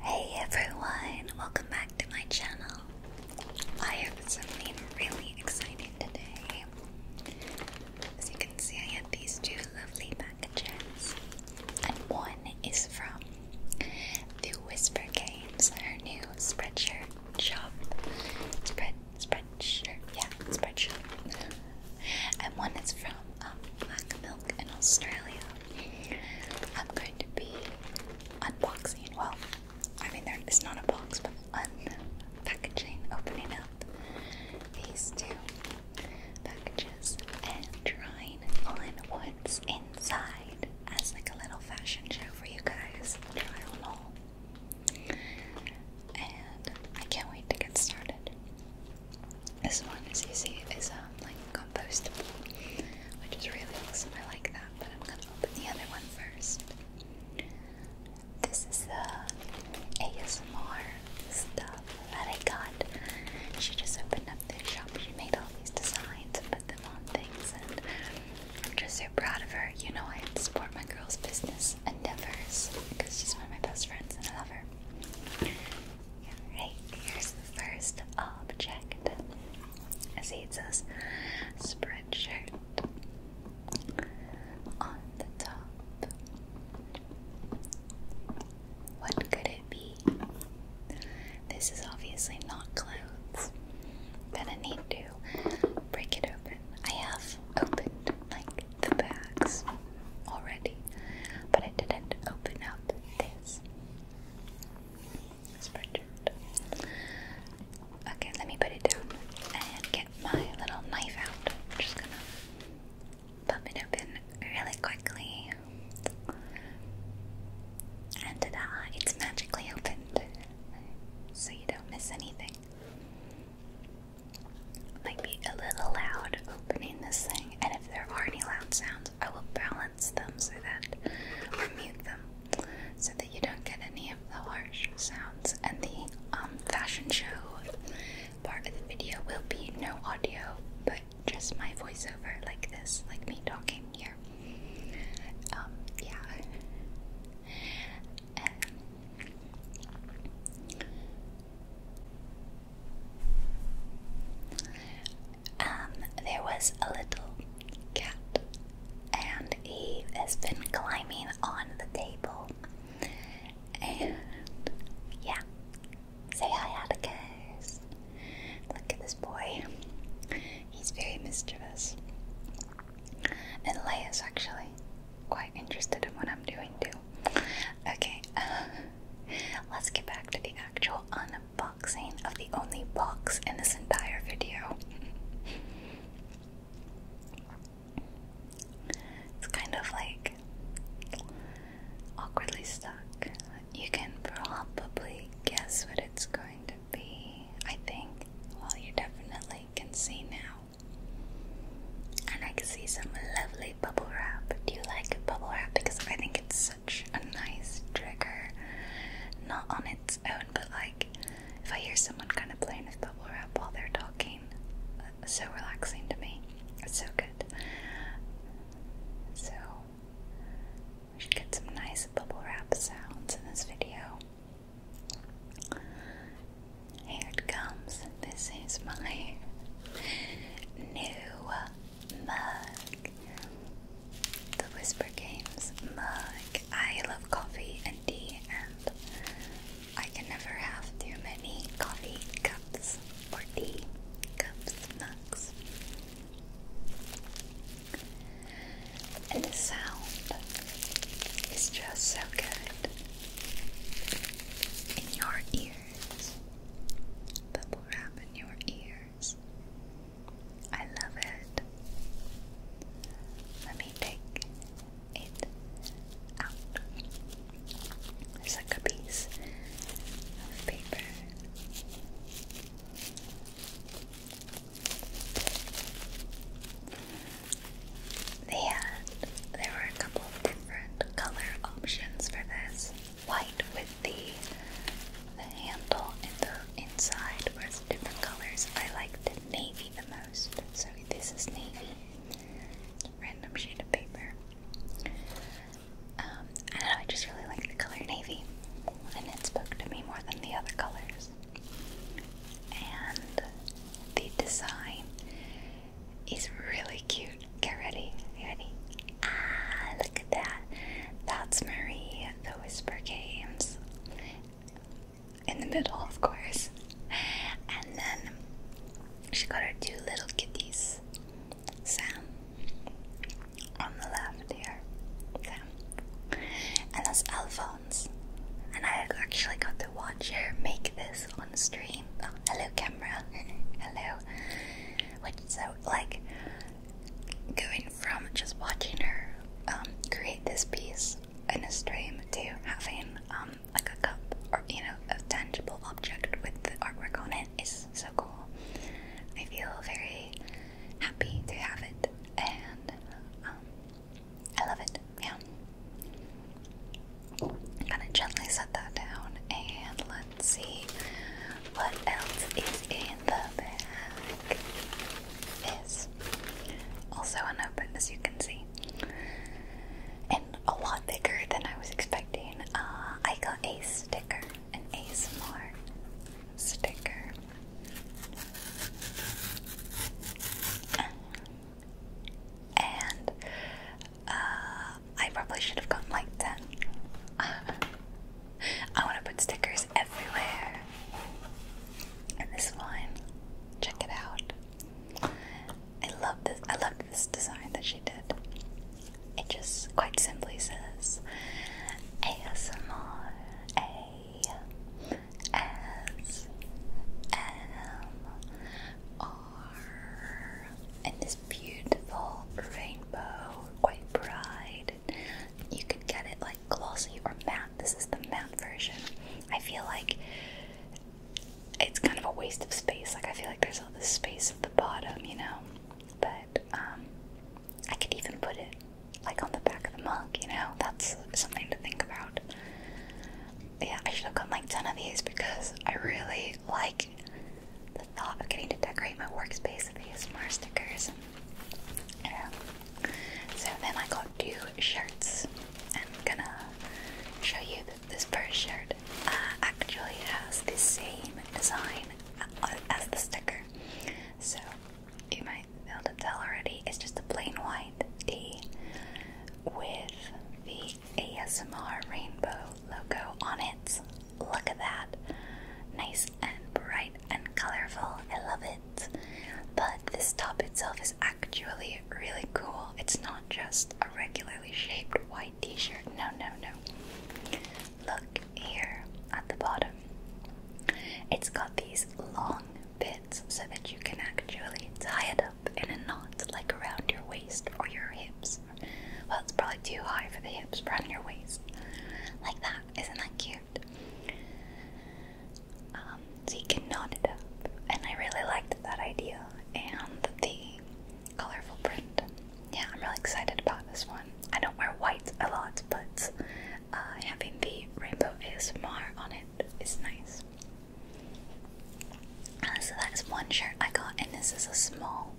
Hey everyone, welcome back to my channel. I have something really exciting today. As you can see, I have these two lovely packages, and one is from the Whisper Games, our new Spreadshirt shop. Spread, Spreadshirt, yeah, Spreadshirt. and one is from um, Black Milk in Australia. I'm going to be unboxing, well, I mean, there is not a box, but unpackaging, opening up these two packages and trying on what's inside as like a little fashion show for you guys. Try on all. And I can't wait to get started. This one, as you see, is um, like compostable, which is really awesome. I like that, but I'm gonna open the other one first. This is the ASMR stuff that I got. She just opened up this shop. She made all these designs and put them on things, and I'm just so proud of her. You know, I support my girl's business endeavors because she's one of my best friends and I love her. Alright, here's the first object. I see spreadshirt on the top. What could it be? This is obviously not clothes. Gonna need to break it open. I have opened like the bags already, but I didn't open up this. Okay, let me put it down and get my little knife out. just gonna pop it open really quickly. And ta it's magically opened. So you don't miss anything. Might be a little loud opening this thing, and if there are any loud sounds, I will balance so that, mute them, so that you don't get any of the harsh sounds. And the um, fashion show part of the video will be no audio, but just my voiceover like this, like me talking here. Um, yeah um, there was a little cat, and he has been climbing on the table. And yeah, say hi, Atticus. Look at this boy, he's very mischievous. And Leia's actually quite interested in what I'm doing, too. Okay, um, Let's get back to the actual unboxing of the only box in this entire video. It's kind of like awkwardly stuck. You can probably guess what it's going to be, I think. Well, you definitely can see now. And I can see some lovely bubble wrap. Do you like bubble wrap? Because I think it's such a nice trigger. Not on its own, but like if I hear someone kind of playing with bubble wrap while they're talking, uh, so relaxing to me. It's so good. So, we should get some nice bubble wrap sounds in this video. Here it comes. This is my new mug. The Whisper Games mug. I love coffee and tea, and I can never have too many coffee cups or tea cups, mugs. And the sound is just so good in your ears. But wrap in your ears. I love it. Let me take it out. It's like a piece of paper. They there were a couple of different color options for this white with the the handle and the inside with different colors. I like the navy the most. So this is navy. Random shade of paper. Um, I don't know, I just really like the color navy. And it spoke to me more than the other colors. And the design is really cute. Get ready. ready. Ah, look at that. That's Marie, the Whisper Games. In the middle, of course. And then she got her two little kiddies, Sam on the left here. Sam. And that's Alphonse. And I actually got to watch her make this on stream. Oh, hello, camera. hello. Which so like going from just watching her um, create this piece in a stream to having um, like a cup or you know a tangible object with the artwork on it is so cool. I feel very happy to have it and um, I love it. Yeah. I'm gonna gently set that down and let see what else is in the bag. This also unopened, as you can see, and a lot bigger than I was expecting. Uh, I got a sticker, and a ASMR sticker. And uh, I probably should have gotten like 10. I want to put stickers everywhere. And this one, check it out. I love this. I love this design that she did. It just quite simply says ASMR A S M R. And this beautiful rainbow, quite bright. You can get it like glossy or matte. This is the matte version. I feel like it's kind of a waste of space. Like I feel like there's all this space at the bottom, you know. But um, I could even put it like on the back of the mug, you know. That's something to think about. Yeah, I should have gotten like ten of these because I really like the thought of getting to decorate my workspace with these ASMR stickers. Yeah. So then I got two shirts. I'm gonna show you that this first shirt uh, actually has the same design uh, as the sticker. So you might be able to tell already, it's just a plain white T with the ASMR rainbow logo on it. Look at that. Nice and bright and colorful. I love it. But this top itself is actually really cool. It's not just a regularly shaped white t shirt. No, no, no. Look here at the bottom. It's got these long bits so that you can actually tie it up in a knot like around your waist or your hips. Well, it's probably too high for the hips but around your waist. Like that. Isn't that cute? Um, so you can knot it up. And I really liked that idea and the colorful print. Yeah, I'm really excited about this one. I don't wear white a lot, but uh, having the rainbow ASMR on it is nice. Uh, so that's one shirt I got, and this is a small,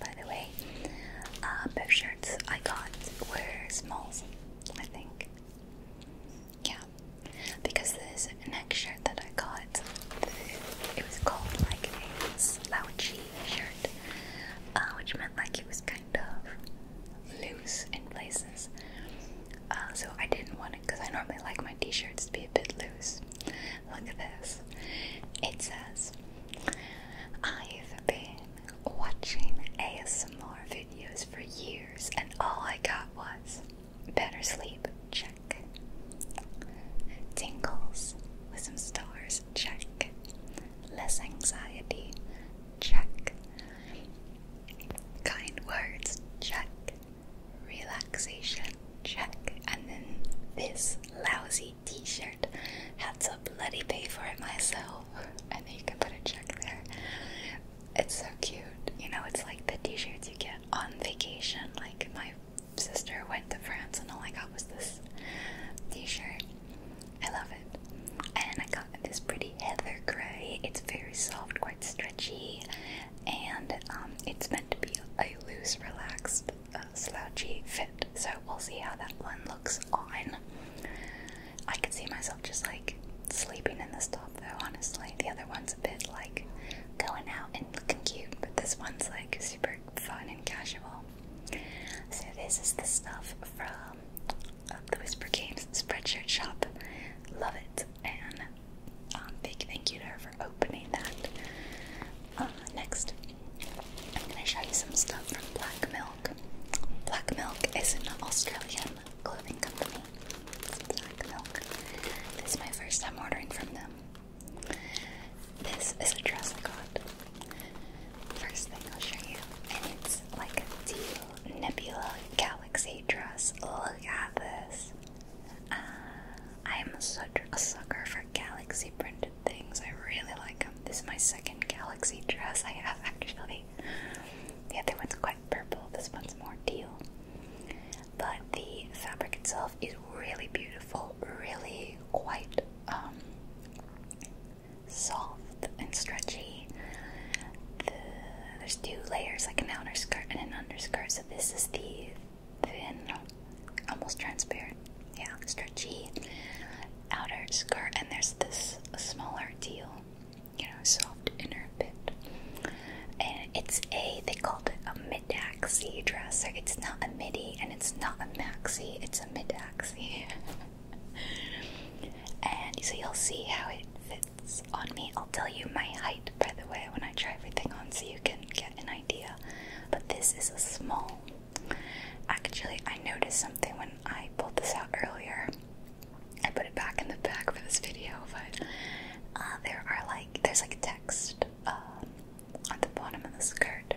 by the way. both uh, shirts I got were smalls, I think. Yeah, because this next shirt that I got, it was called like a slouchy shirt, uh, which meant like it was kind of loose in places. Uh, so I didn't want it because I normally like my t-shirts to be a bit loose. Look at this. It says, I've been watching ASMR videos for years, and all I got was better sleep, check. Tingles with some stars, check. Less anxiety, check. Kind words, check. Relaxation, check. And then this lousy t shirt had to bloody pay for it myself. And then you can put a check there. It's so cute. You know, it's like the t shirts you get on vacation. Like, my sister went to France and all I got was this t shirt. I love it. And I got this pretty heather gray. It's very soft, quite stretchy, and um, it's meant to be a loose, relaxed slouchy fit, so we'll see how that one looks on. I can see myself just like sleeping in this top though, honestly. The other one's a bit like going out and looking cute, but this one's like super fun and casual. So, this is the stuff from uh, the Whisper Games Spreadshirt Shop. Love it, and um, big thank you to her opening that. Uh, next, I'm going to show you some stuff from Black Milk. Black Milk is an Australian clothing company. Black Milk. This is my first time ordering from them. This is a dress I got. First thing I'll show you, and it's like a teal nebula galaxy dress. Look at this. Uh, I'm such a sucker for galaxy printed things. I really like them. This is my second galaxy dress I have actually. The other one's quite purple, this one's more teal. But the fabric itself is really beautiful, really quite um, soft and stretchy. there's two layers, like an outer skirt and an underskirt. So this is the thin, almost transparent, yeah, stretchy outer skirt, and there's this smaller teal, you know, soft inner bit. And it's a, they called it a mid-axi dress, so it's not a midi and it's not a maxi, it's a mid-axi. and so you'll see how it fits on me. I'll tell you my height, by the way, when I try everything on so you can get an idea. But this is a small. Actually, I noticed something when I pulled this out earlier. I put it back in the bag for this video, uh, there are like there's like text um, the bottom of the skirt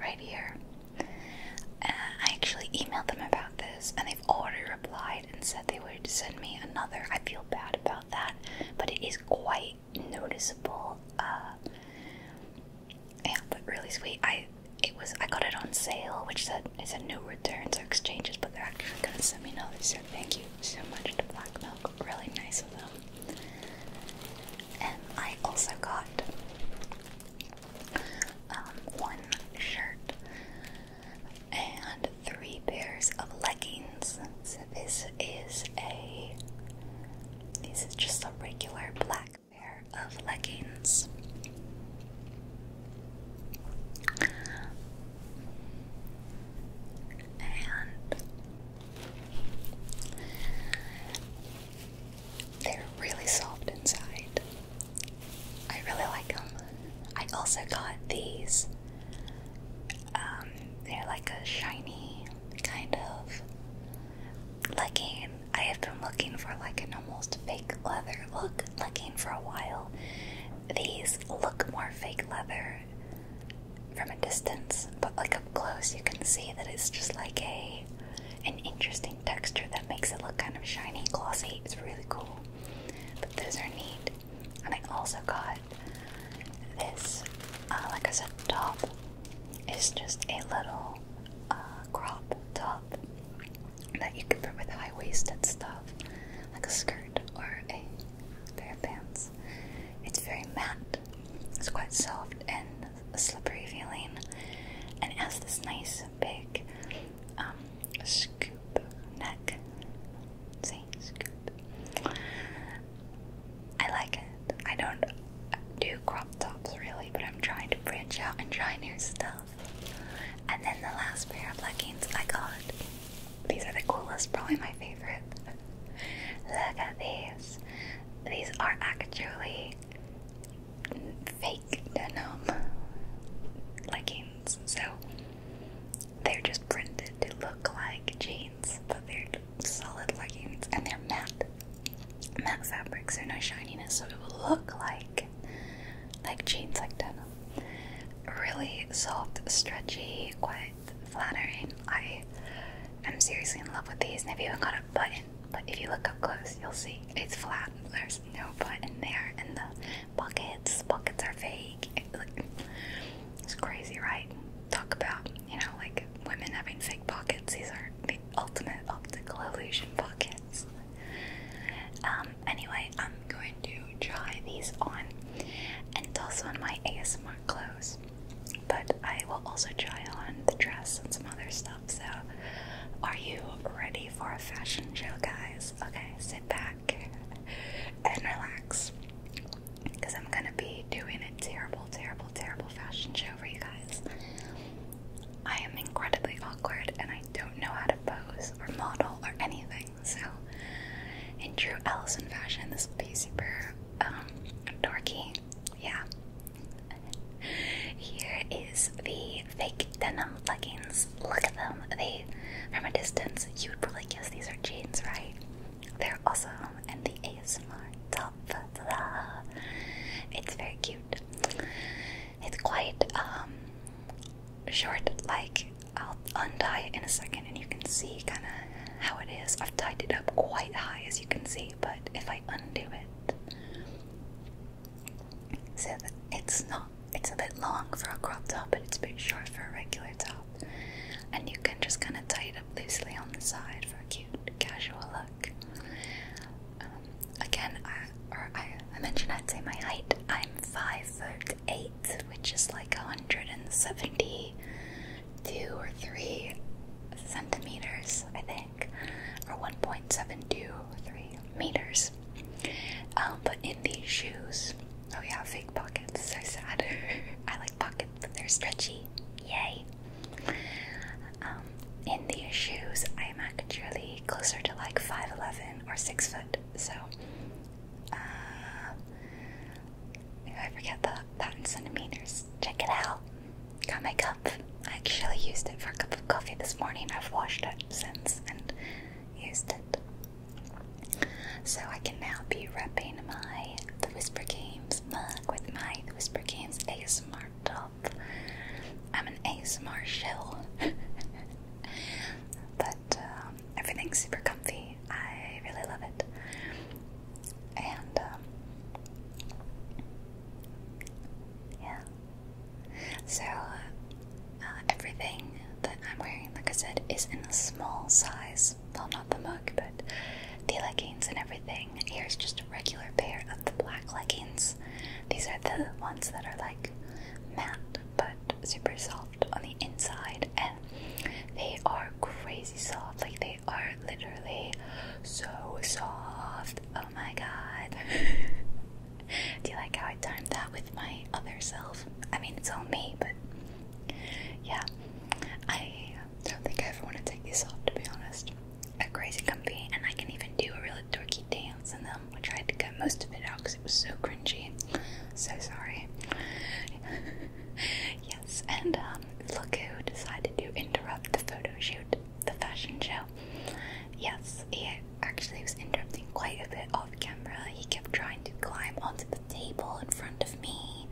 right here. Uh, I actually emailed them about this, and they've already replied and said they would send me another. I feel bad about that, but it is quite noticeable. Uh, yeah, but really sweet. I it was I got it on sale, which said it said no returns or exchanges, but they're actually gonna send me another. So thank you so much to Black Milk. Really nice of them. And I also got um, one shirt and three pairs of leggings. So this is a this is just a regular black pair of leggings. And they're really soft inside. I really like them. I also got these um, they're like a shiny kind of legging. I have been looking for like an almost fake leather look legging for a while. These look more fake leather from a distance, but like up close you can see that it's just like a an interesting texture that makes it look kind of shiny, glossy. It's really cool. But those are neat. And I also got but this, uh, like I said, top is just a little uh, crop top that you can put with high-waisted stuff, like a skirt or a pair of pants. It's very matte. It's quite soft and slippery feeling, and has this nice big um, scoop neck. See, scoop. I like it. I don't do crop tops really, but I'm trying to branch out and try new stuff. And then the last pair of leggings I got. These are the coolest, probably my favorite. Look at these. These are actually fake denim leggings, so they're just printed to look like jeans but they're solid leggings and they're matte, matte fabrics. They're no shininess, so it will look like like jeans, like denim. Really soft, stretchy, quite flattering. I am seriously in love with these, and they've even got a button. But if you look up close, you'll see it's flat. There's no button there, and the pockets, pockets are fake. It, it's crazy, right? Talk about, you know, like women having fake pockets. These are the ultimate optical illusion pockets. Um, anyway, I'm going to try these on and also on my ASMR clothes. But I will also try on the dress and some other stuff. So, are you ready for a fashion show, guys? Okay, sit back and relax because I'm gonna be doing a terrible, terrible, terrible fashion show for you guys. I am incredibly awkward and I don't know how to pose or model or anything, so in true Allison fashion, this will be super um, dorky. Yeah. Here is the fake denim leggings. Look at them. They, from a distance, you would probably guess these are jeans, right? They're awesome, and the ASMR top. It's very cute. It's quite um, short, like I'll untie it in a second, and you can see kind of how it is. I've tied it up quite high, as you can see, but if I undo it, so it's not. It's a bit long for a crop top, but it's a bit short for a regular top and you can just kind of tie it up loosely on the side for a cute, casual look. Um, again, I, or I, mentioned I'd say my height. I'm five foot eight, which is like 172 or three centimeters, I think, or 1.723 meters. Um, but in these shoes, oh yeah, fake pockets, so sad. I like pockets they're stretchy. Yay. Um, in these shoes, I'm actually closer to like 5'11 or 6 foot. So, uh, I forget the patent centimeters. Check it out. Got my cup. I actually used it for a cup of coffee this morning. I've washed it since and used it. So I can now be repping my The Whisper Games with my Whisper Games ASMR top. I'm an Ace shell. but um, everything's super comfy. I really love it. And, um, yeah. So, uh, everything that I'm wearing, like I said, is in a small size. Well, not the mug, but the leggings and everything. Here's just a regular pair of the black leggings. These are the ones that are like matte but super soft on the inside, and they are crazy soft. Like they are literally so soft. Oh my god. Do you like how I timed that with my other self? I mean, it's all me, but yeah. I I don't think I ever want to take these off, to be honest. They're crazy comfy, and I can even do a really dorky dance in them. I tried to cut most of it out because it was so cringy. So sorry. yes, and um, look who decided to interrupt the photo shoot, the fashion show. Yes, he actually was interrupting quite a bit off camera. He kept trying to climb onto the table in front of me.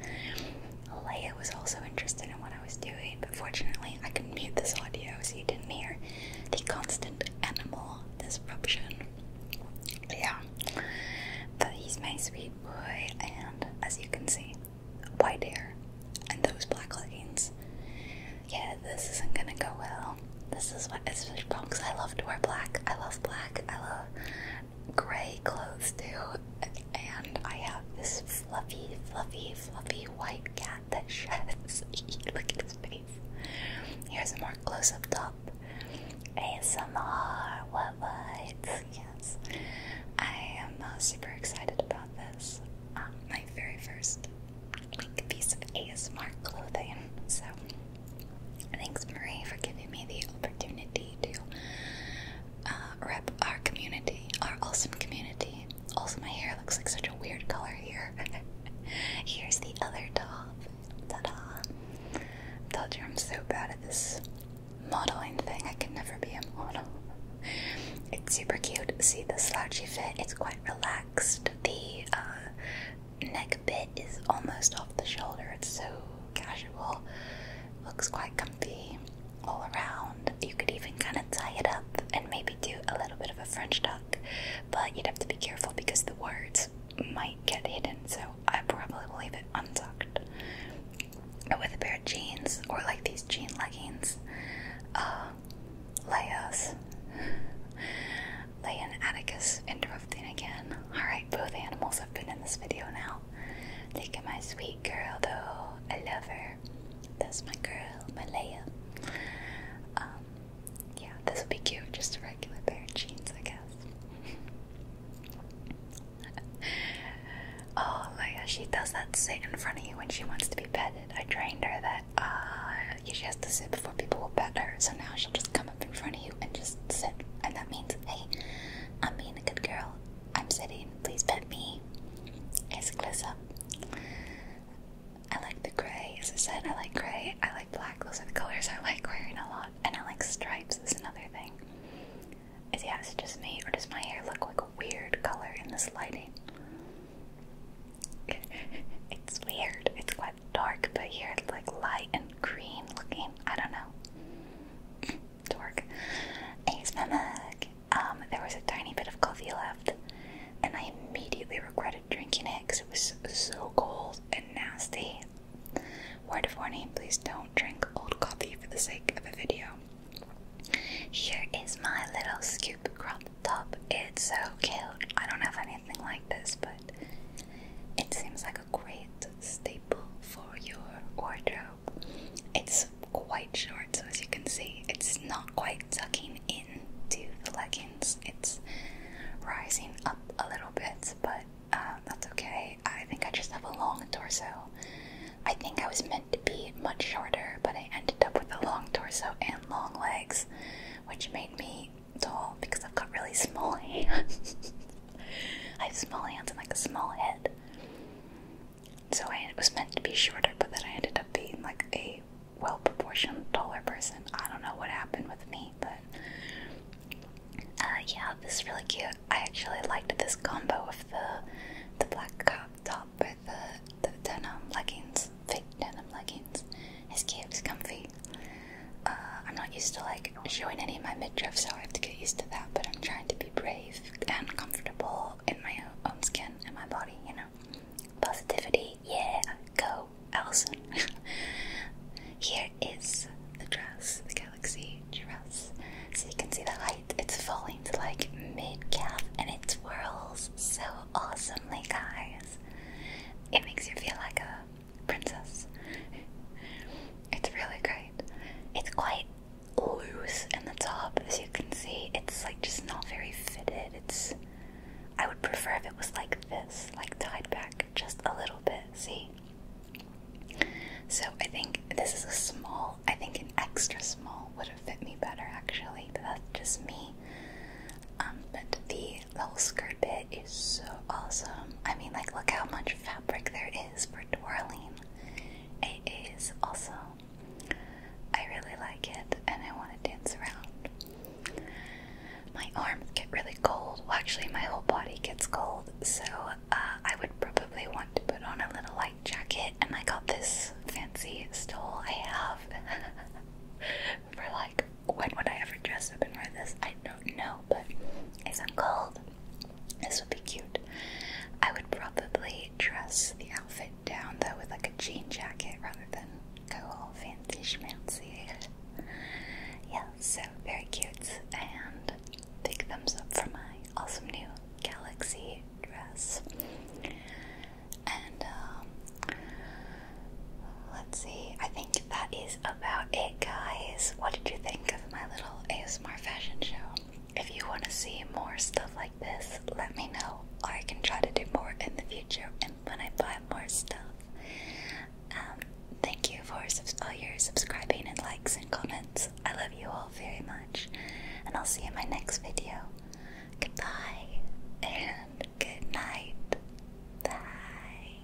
Leia was also interested in what I was doing, but fortunately I could mute this audio so you didn't hear the constant animal disruption. Yeah. But he's my sweet boy, and as you can see, white hair and those black leggings. Yeah, this isn't gonna go well. This is what it's really wrong because I love to wear black. I love black. I love gray clothes too. And I have this fluffy, fluffy, fluffy white cat that sheds. Look at his face. Here's a more close up top. ASMR, what what? Yes. I am super excited about this. Um, my very first piece of ASMR clothing. So, thanks Marie for giving me the opportunity to uh, rep our community, our awesome community. Also, my hair looks like such a weird color here. Here's the other top. Ta da! Told you I'm so bad at this modeling thing. I can never be a model. It's super cute. See the slouchy fit? It's quite relaxed. The uh, neck bit is almost off the shoulder. It's so casual. Looks quite comfy all around. You could even kind of tie it up and maybe do a little bit of a French tuck, but you'd have to be careful because the words might get hidden, so I probably will leave it untucked. With a pair of jeans or like these jean leggings, uh, Lea's, Leia Atticus interrupting again. Alright, both animals have been in this video now. Look at my sweet girl, though. I love her. That's my girl, Malaya. Um, yeah, this would be cute. Just a regular pair of jeans, I guess. oh, Leia, she does that sit in front of you when she wants to be petted. I trained her that uh, she has to sit before people will pet her, so now she'll just come up in front of you and just sit. And that means, hey, I'm being a good girl. I'm sitting. Please pet me. It's close up. I like the gray. As I said, I like gray. I like black. Those are the colors I like wearing a lot. And I like stripes. Is another thing. Is yeah, is just me or does my hair look like a weird color in this lighting? it's weird. It's quite dark, but here it's like light and green looking. I don't know dork. Ace Mamak. Um, there was a tiny bit of coffee left, and I immediately regretted drinking it because it was so cold and nasty. Word of warning, please don't drink old coffee for the sake of a video. Here is my little scoop cup top. It's so cute. I don't have anything like this, but it seems like a great great staple for your wardrobe. It's quite short, so as you can see, it's not quite tucking in to the leggings. It's rising up a little bit, but uh, that's okay. I think I just have a long torso. I think I was meant to be much shorter, but I ended up with a long torso and long legs, which made me tall because I've got really small hands. I have small hands and like a small head. So I was meant to be shorter, but then I ended up being like a well proportioned taller person. I don't know what happened with me, but uh, yeah, this is really cute. I actually liked this combo of the the black top with the the denim leggings, fake denim leggings. It's cute, it's comfy. Uh, I'm not used to like showing any of my midriff, so I have to get used to that. But I'm trying to be brave and comfortable in my own skin and my body, you know. Positivity, yeah, go, Allison. Here is the dress, the galaxy dress. So you can see the height; it's falling to like mid calf and it swirls so awesomely, guys. It makes you feel like a princess. It's really great. It's quite loose in the top, as you can see. It's like just not very fitted. It's. I would prefer if it was like this, like tied back just a little bit. See? So I think this is a small. I think an extra small would have fit me better actually, but that's just me. Um, but the little skirt bit is so awesome. I mean, like, look how much fabric there is for twirling also. I really like it and I want to dance around. My arms get really cold. actually, my whole body gets cold, so uh, I would probably want to put on a little light jacket. And I got this fancy stole I have for like when would I ever dress up and wear this? I don't know, but it's i cold, this would be cute. I would probably dress the outfit down though with like a jean jacket rather than go all fancy schmancy. yeah, so very cute. And big thumbs up for my awesome new galaxy dress. And um, let's see, I think that is about it, guys. What did you think of my little ASMR fashion show. If you want to see more stuff like this, let me know. I can try to do more in the future and when I buy more stuff. Um, thank you for all your subscribing and likes and comments. I love you all very much. And I'll see you in my next video. Goodbye and good night. Bye.